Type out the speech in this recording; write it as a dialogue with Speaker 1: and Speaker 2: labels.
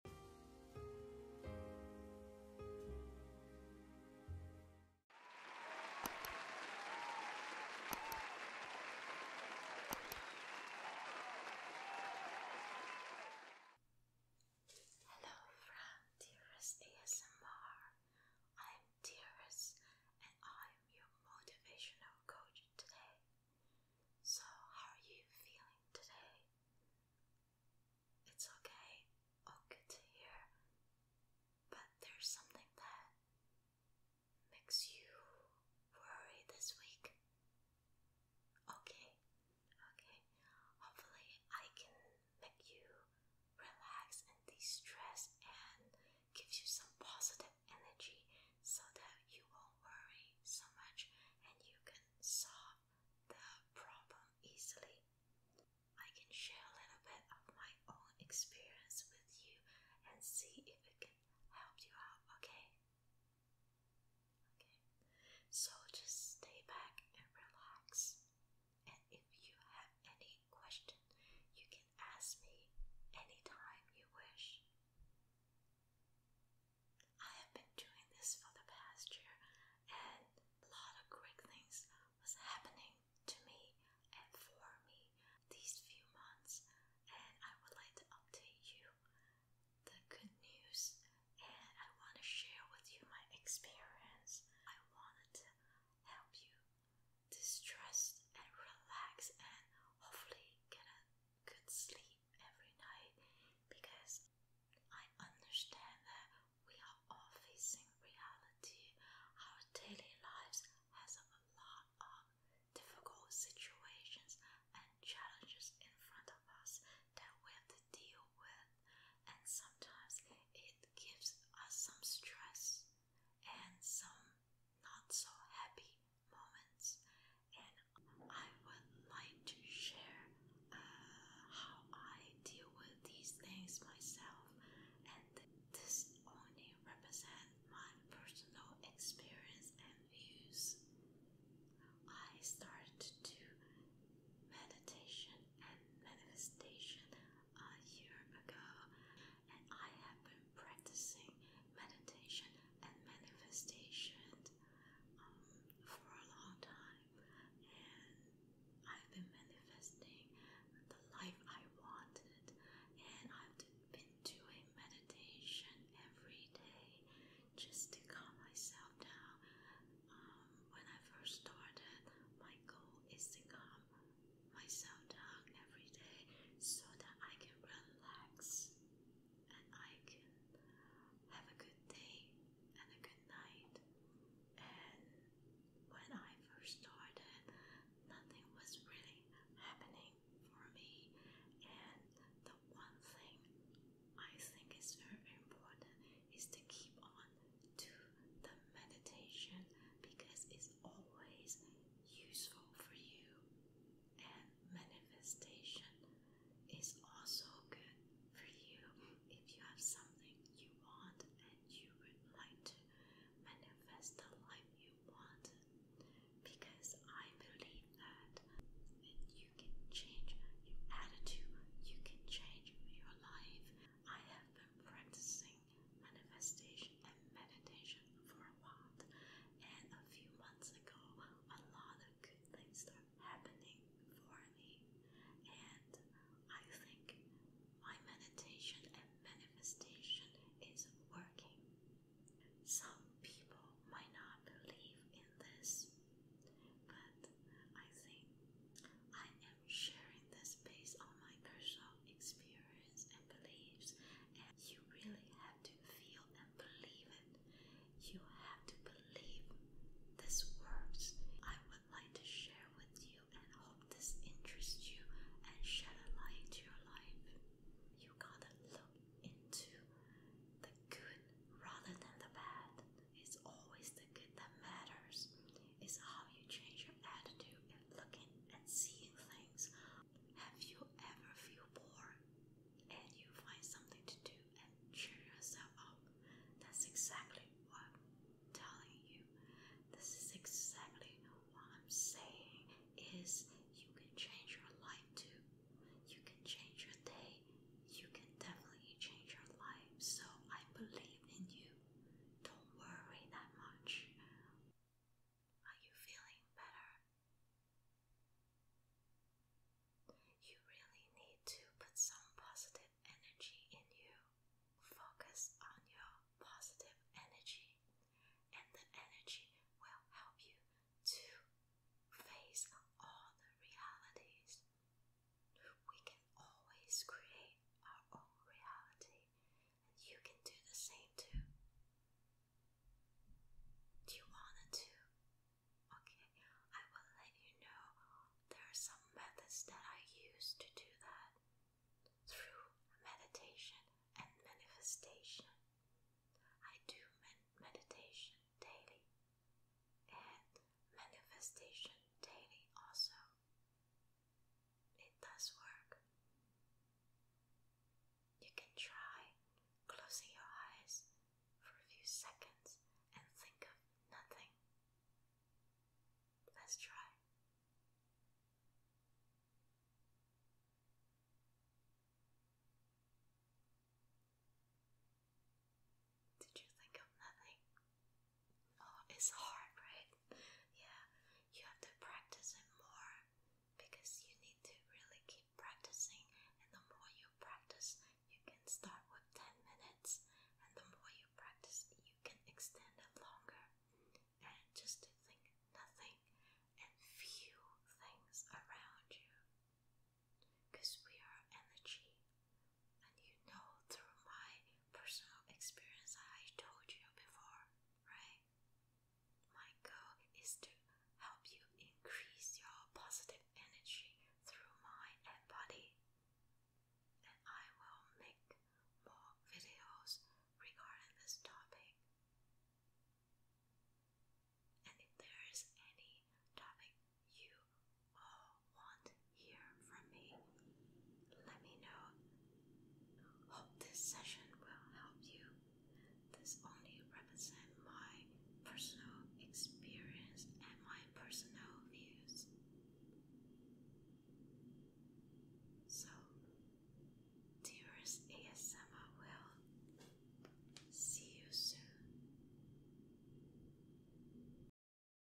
Speaker 1: Hello Dearest ASMR. I'm Dearest and I'm your motivational coach today. So, how are you feeling today? It's okay, all oh, good to hear, but there's something that makes you worry this week. Okay, okay. Hopefully, I can make you relax and de stress and gives you some positive energy so that you won't worry so much and you can can the problem easily. I can share a little bit of my own experience with you and see if it can help you out, okay? Okay. So just stay back and relax. And if you have any question, you can ask me any time you wish. I have been doing this for the past year, and a lot of great things was happening to me and for me these few months, and I would like to update you the good news, and I want to share with you my experience. I wanted to help you distress and relax, and hopefully get a good sleep every night because I understand that we are all facing reality. Our daily lives has a lot of difficult situations and challenges in front of us that we have to deal with and sometimes it gives us some stress and some not so happy moments, and I would like to share uh, how I deal with these things myself, and this only represents my personal experience and views. I started to do meditation and manifestation a year ago, and I have practicing meditation and manifestation um, for a long time, and I've been manifesting the life I wanted, and I've been doing meditation every day just to calm myself down. Um, when I first started, my goal is to calm myself down every day so that I can relax and I can have a good day and a good night. And when I first started, nothing was really happening for me. And the one thing I think is very important is to keep on to the meditation because it's always useful for you and manifestation is also good for you if you have something you want and you would like to manifest the life you want because I believe that you can change your attitude, you can change your life. I have been practicing manifestation and meditation for a while, and a few months ago, a lot of good things are happening for me, and I think my meditation and manifestation is working. Some people might not believe in this, but I think I am sharing this based on my personal experience experience and beliefs, and you really have to feel and believe it. You have to believe this works. I would like to share with you and hope this interests you and shed a light to your life. You gotta look into the good rather than the bad. It's always the good that matters. It's how you change your attitude and looking and seeing things. Have you ever feel poor, and you find something to do and cheer yourself up? That's exactly what I'm telling you. This is exactly what I'm saying is you can change your life too. You can change your day. You can definitely change your life. So I believe in you. Don't worry that much. Are you feeling better? You really need to put some positive energy in you. Focus on your positive energy, and the energy will help you to face all the realities. We can always create our own reality you can do the same too. Do you want to? Okay, I will let you know there are some methods that I use to do that through meditation and manifestation. I do med meditation daily and manifestation daily also. It does work. You can try closing your eyes for a few seconds and think of nothing. Let's try. Did you think of nothing? Oh, it's hard, right? Yeah, you have to practice it more because you need to really keep practicing. And the more you practice, you can start with 10 minutes, and the more you practice, you can extend it longer. And just to think nothing and feel things around you because we are energy. And you know through my personal experience, I told you before, right? My goal is to help you increase your positive energy through mind and And I will make more videos regarding this topic. And if there is any topic you want hear from me, let me know. Hope this session will help you. This only represents my personal experience and my personal views. So, dearest ASMR will see you soon.